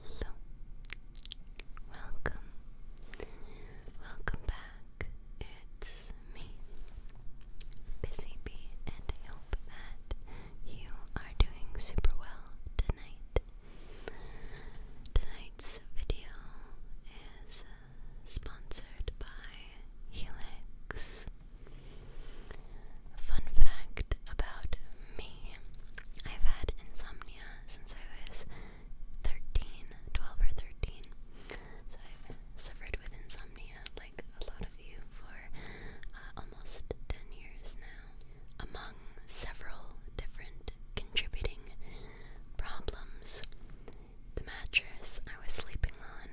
hello. Welcome, welcome back. It's me, Busy Bee, and I hope that you are doing super well tonight. Tonight's video is uh, sponsored by Helix. Fun fact about me I've had insomnia since I was 13, 12 or 13. So I've suffered with insomnia like a lot of you for uh, almost 10 years now. Among several different contributing problems the mattress I was sleeping on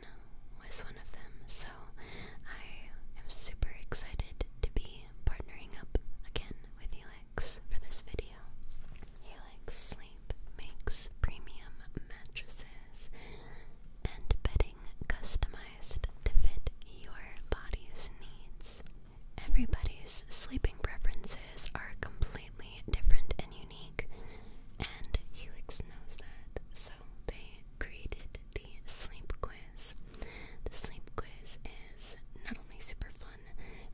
was one of them, so I am super excited to be partnering up again with Helix for this video. Helix Sleep makes premium mattresses and bedding customized to fit your body's needs. Everybody's sleeping preferences are completely different and unique and Helix knows that, so they created the sleep quiz. The sleep quiz is not only super fun,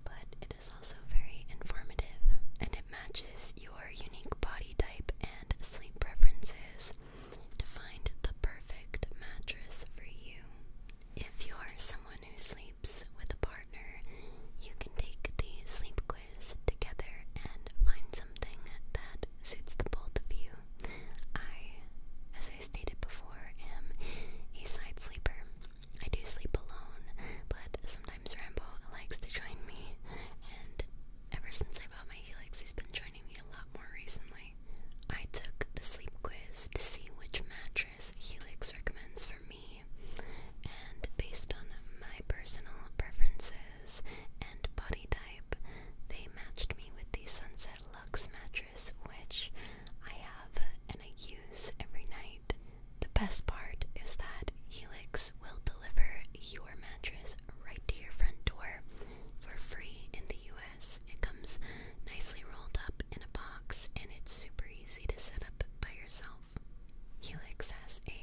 but it is also very informative, and it matches your unique body type and sleep preferences to find the perfect mattress for you. If you're someone who sleeps with a partner, you can take the sleep quiz together and find something that suits the both of you. I, as I stated before, am a side sleeper. I do sleep alone, but sometimes Rambo likes to join me, and ever since I bought my Helix, he's been joining me a lot more recently. I took the sleep quiz to see which match Helix recommends for me, and based on my personal preferences and body type, they matched me with the Sunset Lux mattress, which I have and I use every night. The best part is that Helix will deliver your mattress right to your front door for free in the US. It comes nicely rolled up in a box and it's super easy to set up by yourself. Helix has a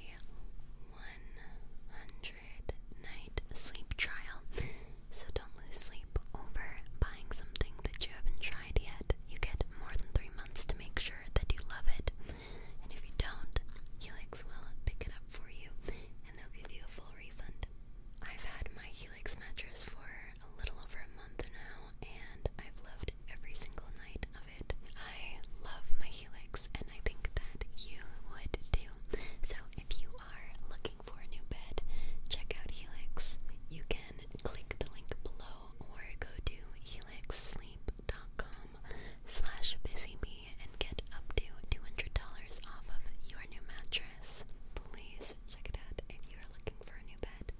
100 night sleep trial, so don't lose sleep over buying something that you haven't tried yet. You get more than three months to make sure that you love it, and if you don't, Helix will pick it up for you and they'll give you a full refund. I've had my Helix mattress for a little over a month now, and I've loved every single night I love my Helix, and I think that you would too. So, if you are looking for a new bed, check out Helix. You can click the link below or go to helixsleep.com busybee and get up to $200 off of your new mattress. Please check it out if you are looking for a new bed.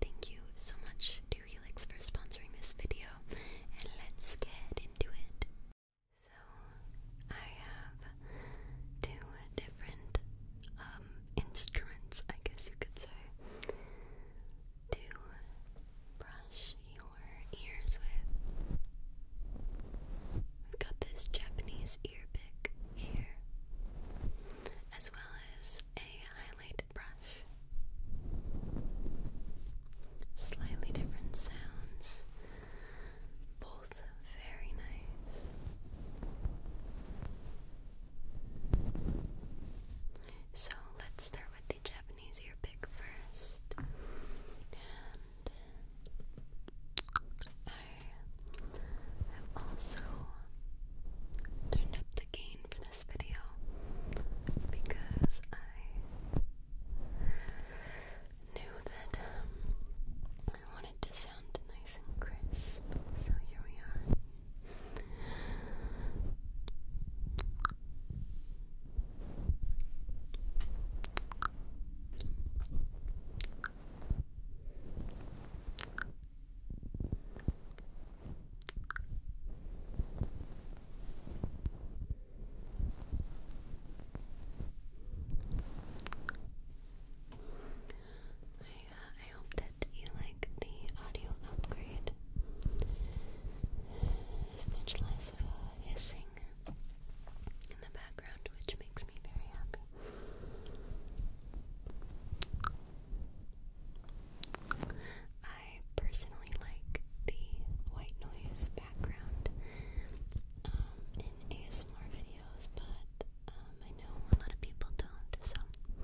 Thank you so much to for sponsoring this video, and let's get into it. So, I have two different um, instruments, I guess you could say, to brush your ears with. We've got this Japanese ear pick here, as well as a highlight Slightly different sounds, both very nice. So let's start with the Japanese ear first. And I have also turned up the gain for this video because I knew that um, I wanted to sound nice and crisp, so here we are uh, I hope that you like the audio upgrade. There's much less uh, hissing in the background, which makes me very happy. I personally like the white noise background um, in ASMR videos, but um, I know a lot of people don't, so I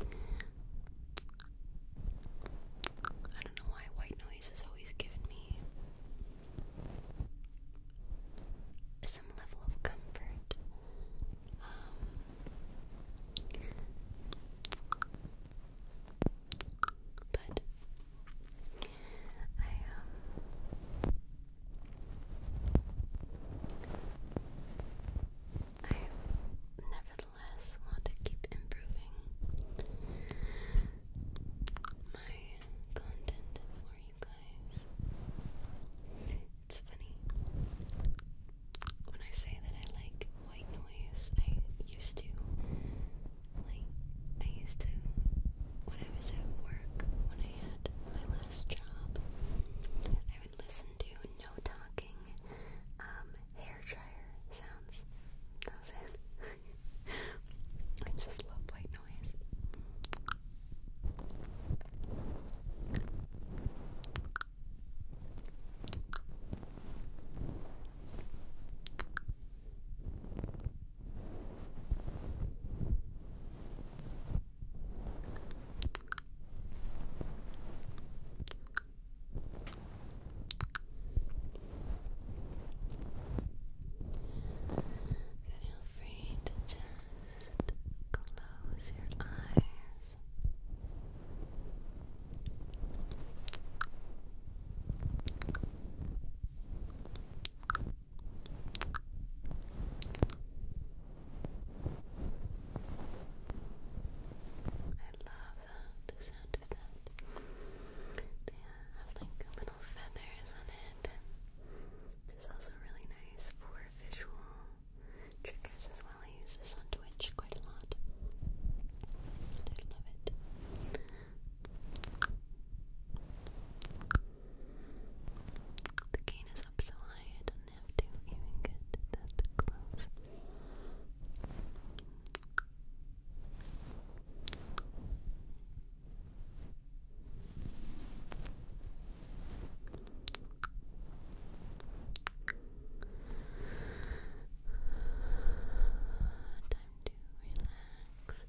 don't know why white noise has always given me some level of comfort. Um, but I um I nevertheless want to keep improving my content for you guys. It's funny when I say that I like white noise, I used to like I used to when I was at work when I had my last job, I would listen to no talking um hair dryer sounds. That was it. I just love white noise. Feel free to just close your eyes. Uh, the sound of that. They uh, have like little feathers on it, it's also really nice for visual triggers as well. use this on Twitch quite a lot. I love it. The gain is up so high I don't have to even get that close. Time to relax. Relax, relax, relax. relax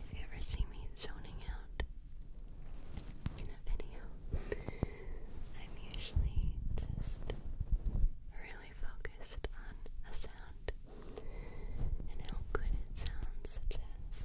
if you ever see me zoning out in a video, I'm usually just really focused on a sound and how good it sounds, such as.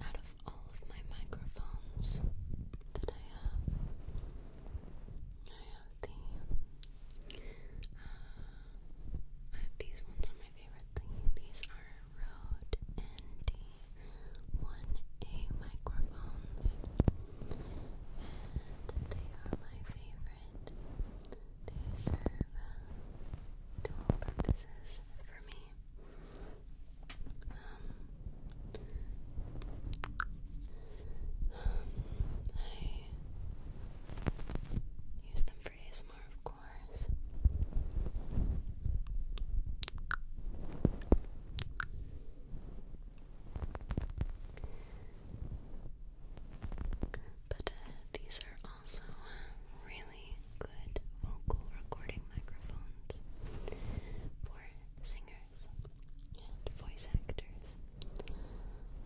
Out of all of my microphones that I have, I have the uh, I have these ones are my favorite thing. These are Rode ND1A microphones, and they are my favorite. They serve dual um, purposes for me. Um, I use them for ASMR, of course course. But uh, these are also uh, really good vocal recording microphones for singers and voice actors.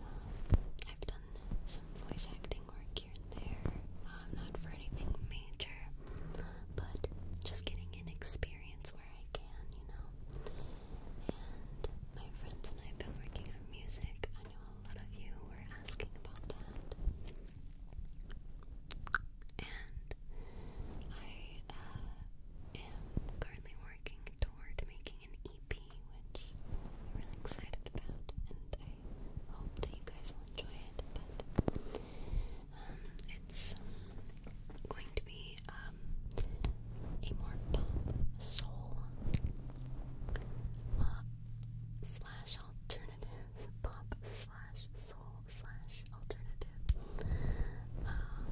Um, I've done some voice acting work here and there. Um, not for anything major, but just getting an experience where I can, you know. And my friends and I have been working on music. I know a lot of you were asking about that. And I uh, am currently working toward making an EP, which I'm really excited about, and I hope that you guys will enjoy it. But um, it's um, going to be um, a more pop soul uh, slash alternative pop slash soul slash alternative. Um,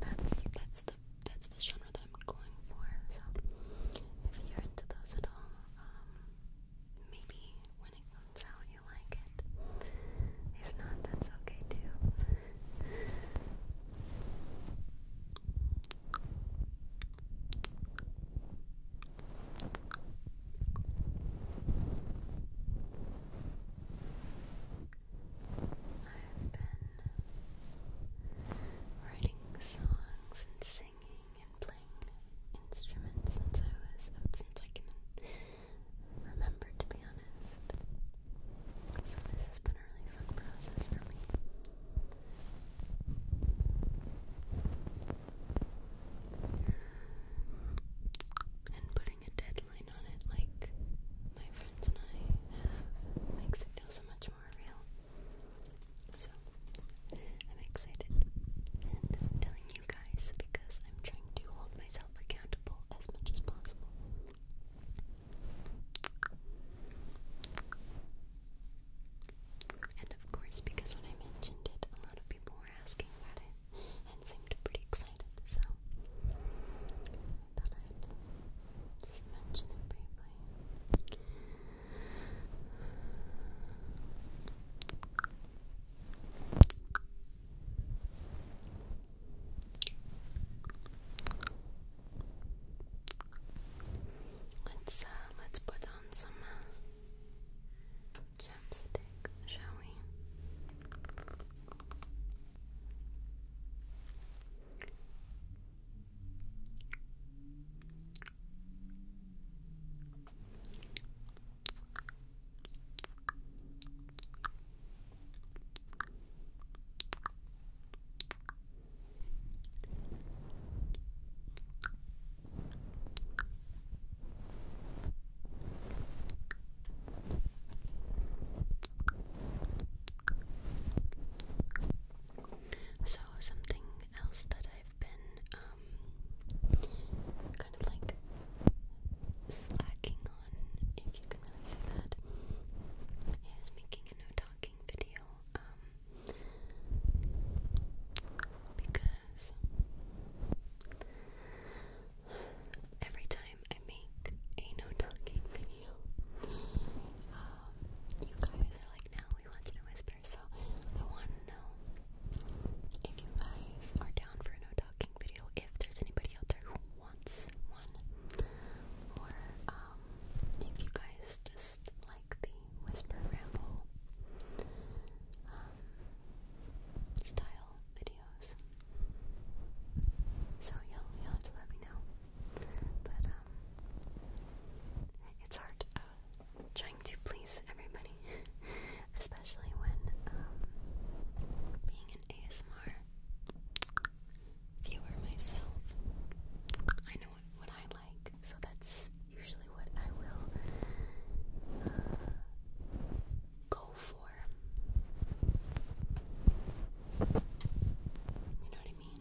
that's that's the that's the genre that I'm going for. So if you're into those at all, um, maybe when it comes out you like it. If not, that's okay too. I've been writing songs and singing and playing instruments since I was oh, since I can remember to be honest. So this has been a really fun process for me. And putting a deadline on it like my friends and I makes it feel so much more real. So I'm excited and I'm telling you guys because I'm trying to hold myself accountable as much as possible. And of course, because when I mentioned it, a lot of people were asking about it and seemed pretty excited, so I thought I'd just mention it briefly. Let's uh, let's put on some uh, shall we? So, something else that I've been um, kind of like slacking on, if you can really say that, is making no talking video. Um, because every time I make a no talking video, um, you guys are like, now we wanted to whisper, so I want to know if you guys are down for a no talking video, if there's anybody out there who wants one, or um, if you guys just like the whisper ramble um, style videos. So you'll, you'll have to let me know. But um, it's hard. I uh, trying to please everybody, especially when um, being an ASMR viewer myself, I know what, I like, so that's usually what I will uh, go for. You know what I mean?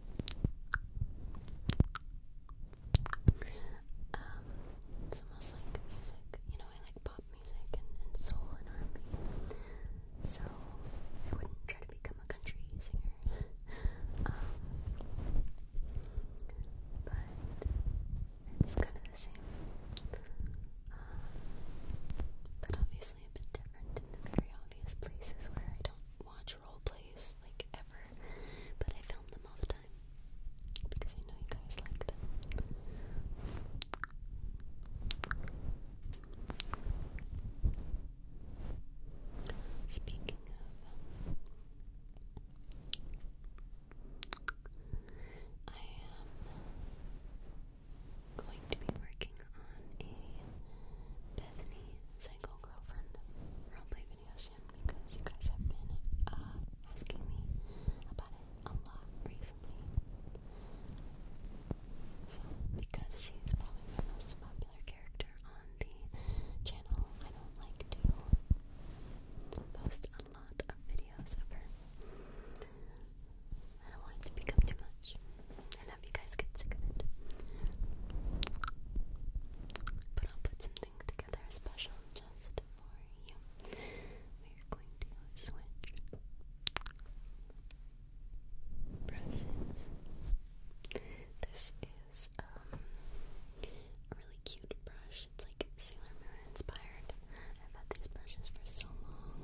it's almost like music. You know, I like pop music and, and soul and R&B. So I wouldn't try to become a country singer. Um, but it's kind of the same. Uh, but obviously obviously a bit different in the very obvious places where I don't watch role plays like ever, but I film them all the time because I know you guys like them. Speaking of, um, I am going to be working on a Bethany, Psycho Girlfriend roleplay video because you guys have been uh, asking me about it a lot recently. So, because she's probably my most popular character on the channel, I don't like to post a lot of videos of her. I don't want it to become too much enough you guys get sick of But I'll put something together special just for you. We're going to switch brushes. This is um, a really cute brush. It's like Sailor Moon inspired. I've had these brushes for so long.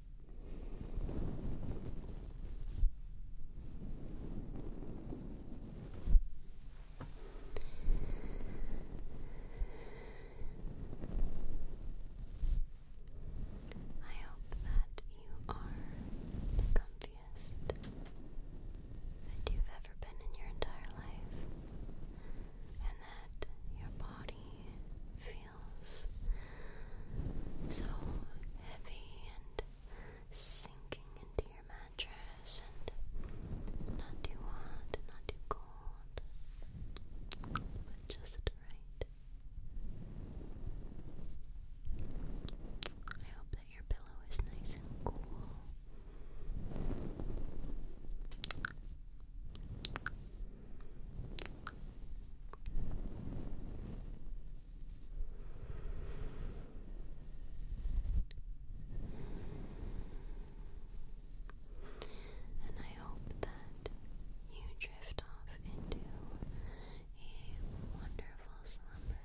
I hope that you are the comfiest that you've ever been in your entire life, and that your body so heavy and sinking into your mattress and not too hot, not too cold, but just right. I hope that your pillow is nice and cool. And I hope that you drift off into a wonderful slumber.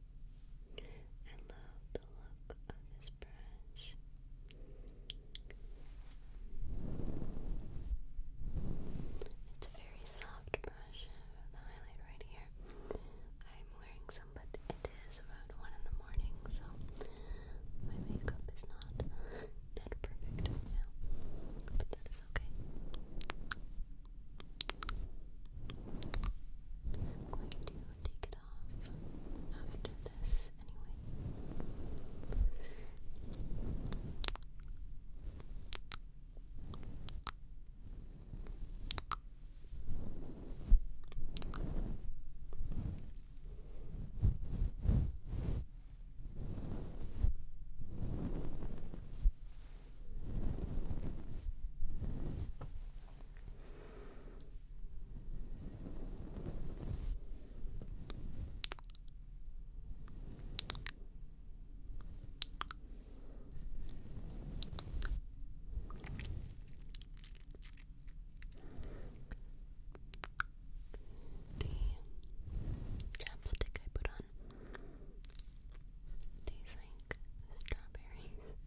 I love the look of this brush. It's a very soft brush uh, the highlight right here. I'm wearing some, but it is about one in the morning, so my makeup is not not perfect now, but that is okay. I'm going to take it off after this anyway. The chapstick I put on tastes like strawberries.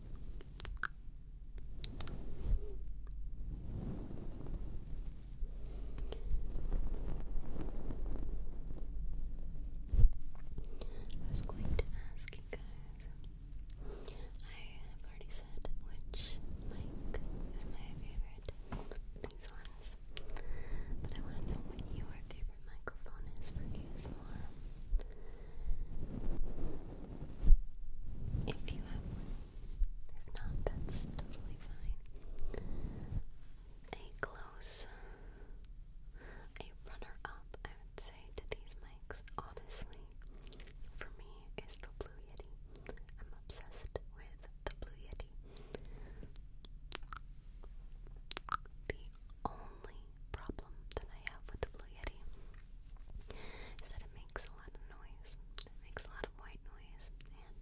I was going to ask you guys. I have already said which mic is my favorite. These ones, but I want to know what you are microphone is for ASMR. If you have one, if not, that's totally fine. A close, a runner-up, I would say, to these mics, honestly, for me, is the Blue Yeti. I'm obsessed with the Blue Yeti only problem that I have with the Blue Yeti is that it makes a lot of noise. It makes a lot of white noise, and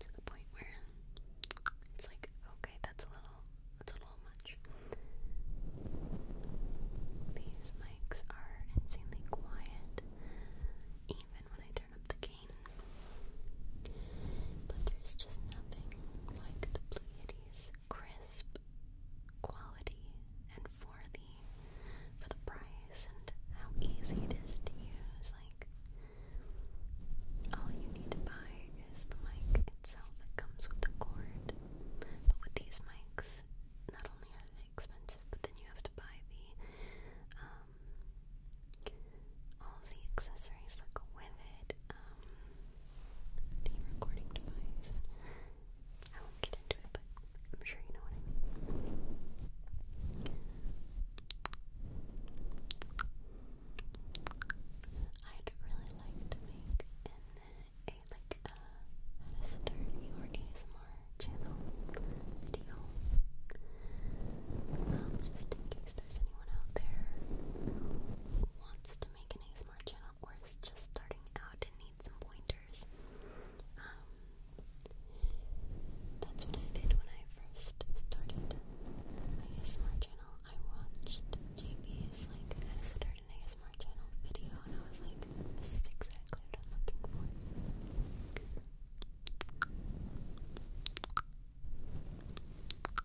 to the point where it's like, okay, that's a little, that's a little much. These mics are insanely quiet, even when I turn up the gain. But there's just nothing like the Blue Yeti's crisp, crisp quality and for the for the price and how easy it is to use. Like all you need to buy is the mic itself that comes with the cord. But with these mics, not only are they expensive, but then you have to buy the um all the accessories that go with it. Um the recording device. I won't get into it, but I'm sure you know what I mean. I'd really like to make a like a how to ASMR channel video. Um, just in case there's anyone out there who wants to make an ASMR channel or is just starting out and need some pointers. Um, that's what I did when I first started my ASMR channel. I watched JB's like how to start an ASMR channel video, and I was like, this is exactly what I'm looking for.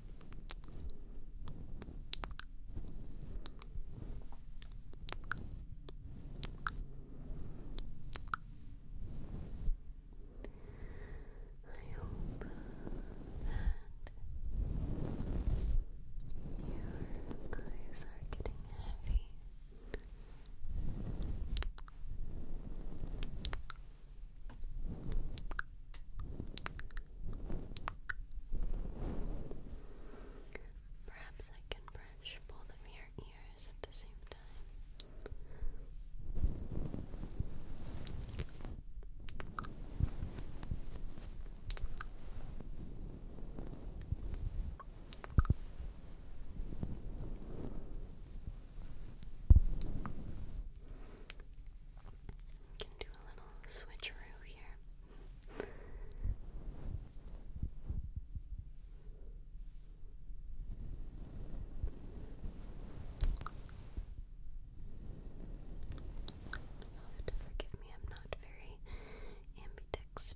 I hope that your eyes are getting heavy. Perhaps I can brush both of your ears at the same time can do a little switcheroo here. you have to forgive me, I'm not very ambidextrous.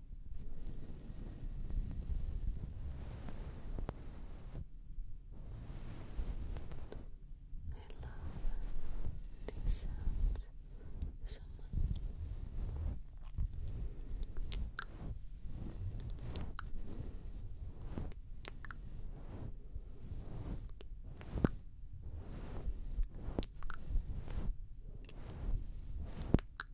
I love these sounds so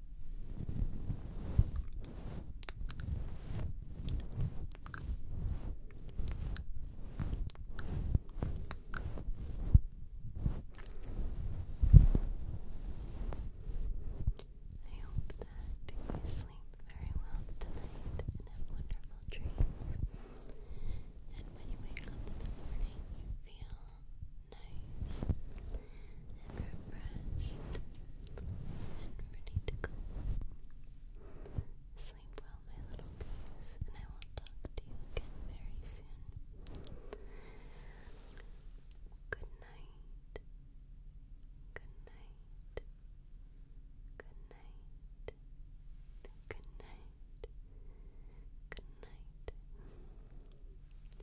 I hope that you sleep very well tonight and have wonderful dreams. And when you wake up in the morning, you feel nice and refreshed and ready to go. Sleep well, my little peas, and I will talk to you again very soon. Good night. Good night. Good night. Good night.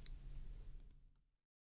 Good night.